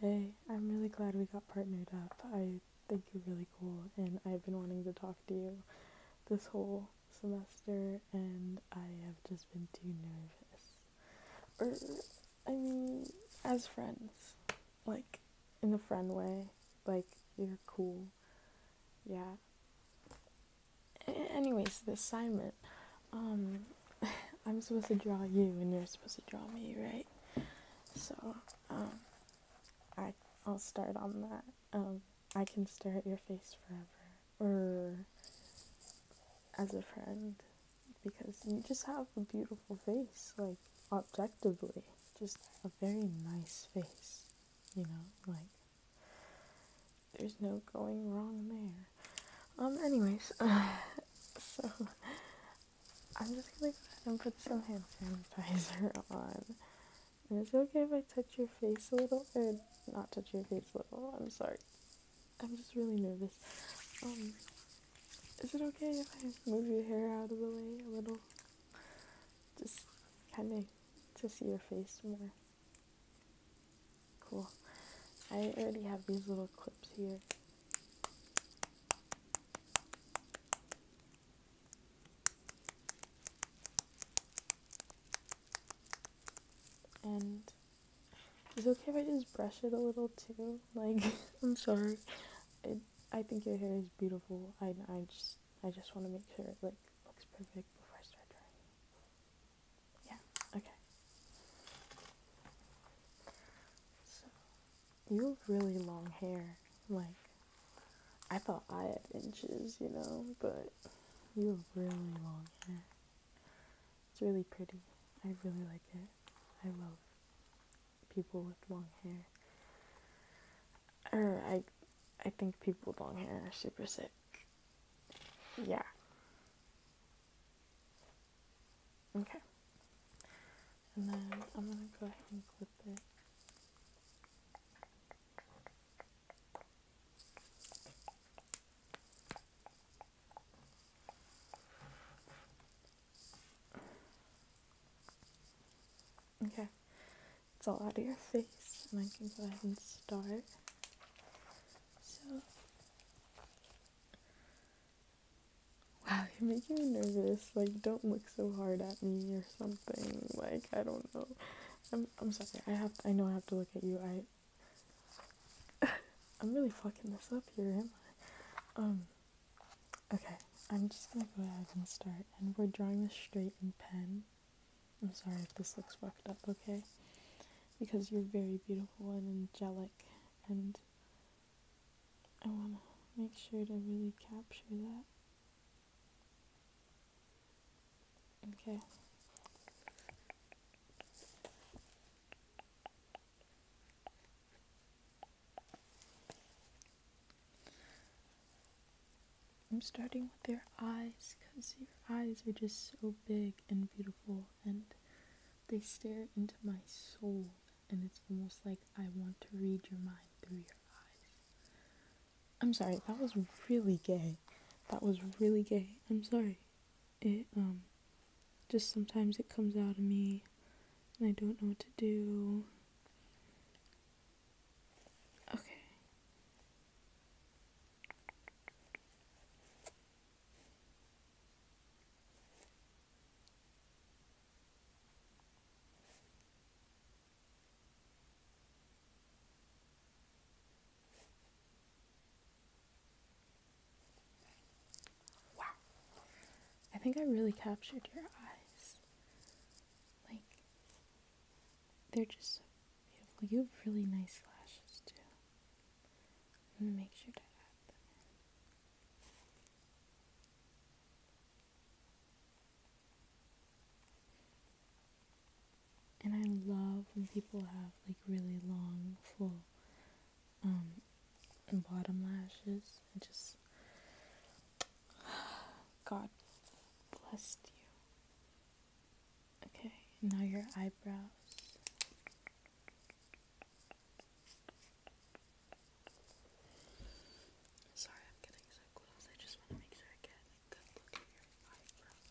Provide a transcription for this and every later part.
Hey, I'm really glad we got partnered up. I think you're really cool, and I've been wanting to talk to you this whole semester, and I have just been too nervous. Or, I mean, as friends, like in a friend way, like you're cool. Yeah. Anyways, the assignment um, I'm supposed to draw you and you're supposed to draw me, right? So, um, I, I'll start on that. Um, I can stare at your face forever, or as a friend, because you just have a beautiful face, like, objectively. Just a very nice face, you know? Like, there's no going wrong there. Um, anyways, so I'm just gonna go ahead and put some hand sanitizer on. And it's okay if I touch your face a little, or not touch your face a little. I'm sorry. I'm just really nervous. Um, is it okay if I move your hair out of the way a little? Just kind of to see your face more. Cool. I already have these little clips here. And it's okay if I just brush it a little too. Like, I'm sorry. It, I think your hair is beautiful. I, I just I just want to make sure it like looks perfect before I start drawing. Yeah, okay. So, you have really long hair. Like, I thought I had inches, you know, but you have really long hair. It's really pretty. I really like it. I love people with long hair. Or I, I think people with long hair are super sick. Yeah. Okay. And then I'm going to go ahead and clip it. Okay, it's all out of your face, and I can go ahead and start. So, Wow, you're making me nervous. Like, don't look so hard at me or something. Like, I don't know. I'm I'm sorry. I have I know I have to look at you. I I'm really fucking this up here, am I? Um. Okay, I'm just gonna go ahead and start, and we're drawing this straight in pen. I'm sorry if this looks fucked up, okay? Because you're very beautiful and angelic, and I want to make sure to really capture that. Okay. I'm starting with your eyes because your eyes are just so big and beautiful and they stare into my soul and it's almost like I want to read your mind through your eyes. I'm sorry, that was really gay. That was really gay. I'm sorry. It um just sometimes it comes out of me and I don't know what to do. Okay. Wow. I think I really captured your eyes. Like they're just so beautiful. You have really nice lashes too. I'm gonna make sure to add them And I love when people have like really long, full um, bottom lashes. I just, God blessed you. Okay, now your eyebrows. Sorry, I'm getting so close. I just want to make sure I get a good look at your eyebrows.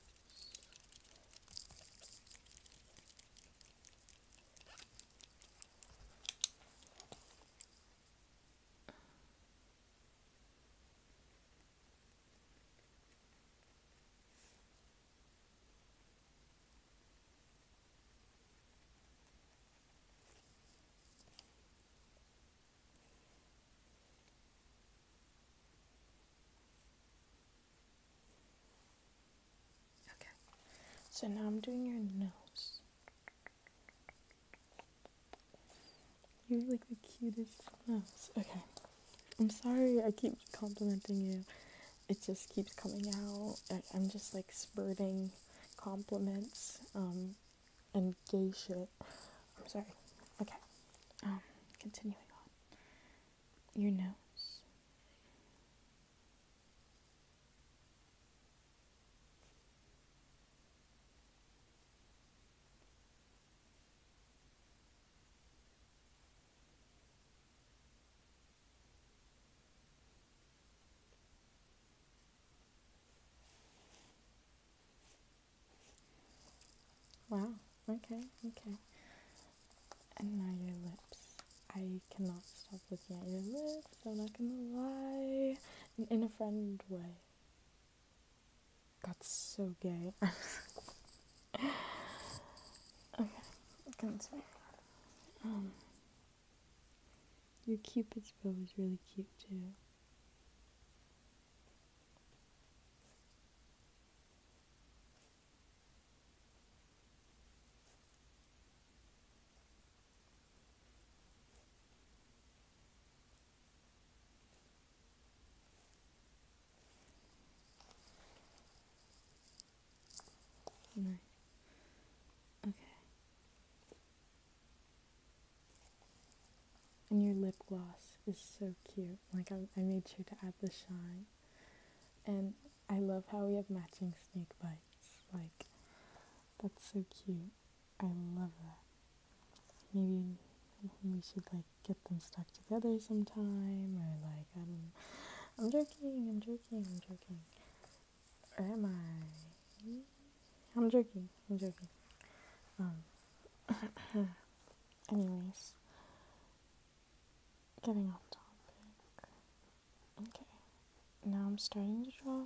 Okay, so now I'm doing your nose. You're like the cutest mouse. Okay. I'm sorry I keep complimenting you. It just keeps coming out. I, I'm just like spurting compliments um, and gay shit. I'm sorry. Okay. Um, continuing on. Your nose. Wow, okay, okay. And now your lips. I cannot stop looking at your lips, I'm not gonna lie. In, a friend way. That's so gay. okay, I can continue. Um, your cupid's bow is really cute too. Okay. And your lip gloss is so cute. Like I, I made sure to add the shine. And I love how we have matching snake bites. Like that's so cute. I love that maybe we should like get them stuck together sometime or like I don't I'm joking, I'm joking, I'm joking. Or am I? I'm joking, I'm joking. Um anyways getting off topic. Okay. Now I'm starting to draw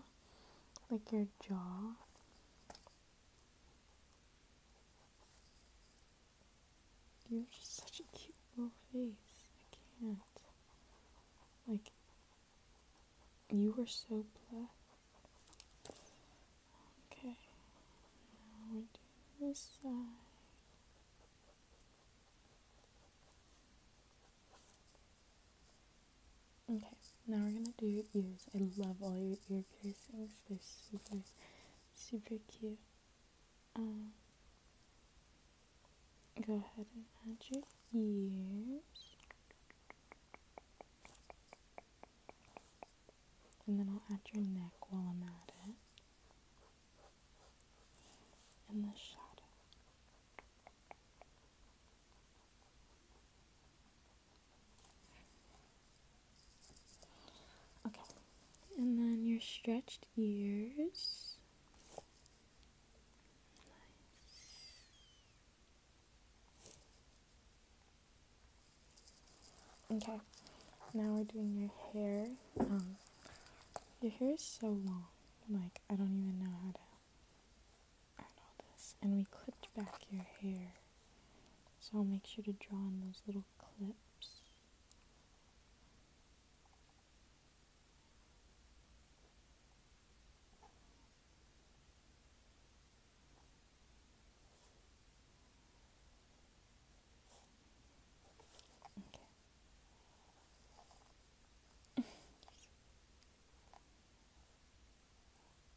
like your jaw you are just such a cute little face. I can't. Like, you are so black. Okay. Now we do this side. Okay, now we're gonna do your ears. I love all your ear piercings. They're super, super cute. Um, go ahead and add your ears. And then I'll add your neck while I'm at it. And the shadow. Okay. And then your stretched ears. Okay. Now we're doing your hair. Um, your hair is so long. Like, I don't even know how to and we clipped back your hair. So I'll make sure to draw in those little clips. Okay.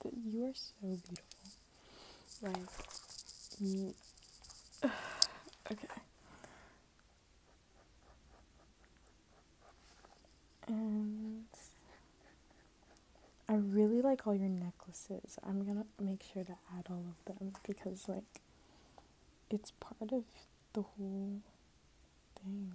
Wow, you are so beautiful. Like, okay. And I really like all your necklaces. I'm gonna make sure to add all of them because, like, it's part of the whole thing.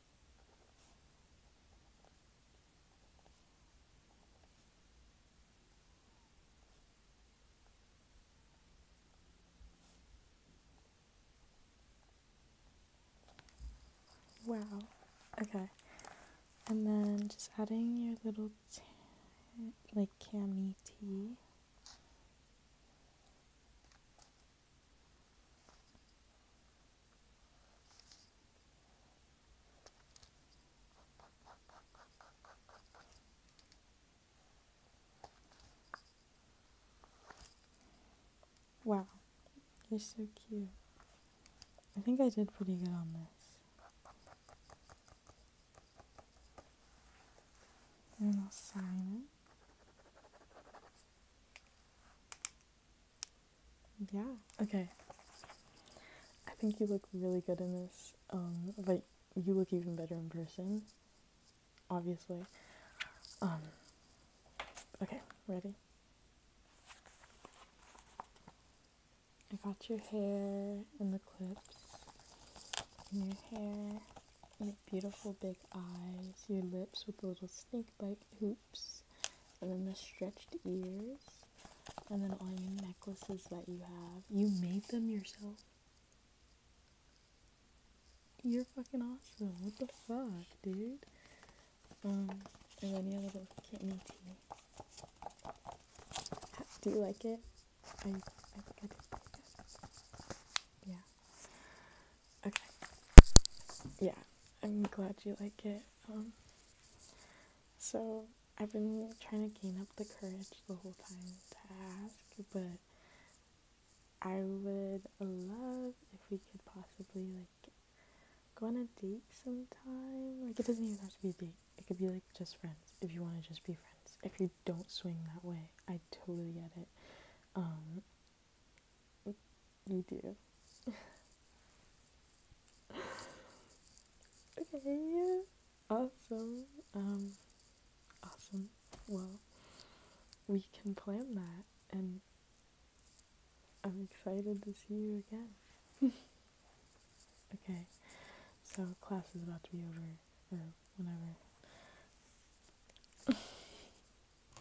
Wow. Okay. And then just adding your little like cami tea. Wow, you're so cute. I think I did pretty good on this. And I'll sign it yeah. Okay. I think you look really good in this. Um, but you look even better in person. Obviously. Um, okay, ready? I got your hair in the clips. your hair, your beautiful big eyes, your lips with the little snake bite hoops, and then the stretched ears, and then all your necklaces that you have. You made them yourself. You're fucking awesome. What the fuck, dude? Um, and then you have a little kitten teeny. Do you like it? Yeah. Okay. Yeah, I'm glad you like it. Um, so I've been trying to gain up the courage the whole time to but I would love if we could possibly like go on a date sometime. Like it doesn't even have to be a date. It could be like just friends if you want to just be friends. If you don't swing that way, I totally get it. Um, you do. okay. Awesome. Um, awesome. Well, we can plan that and I'm excited to see you again. okay. So class is about to be over or whenever.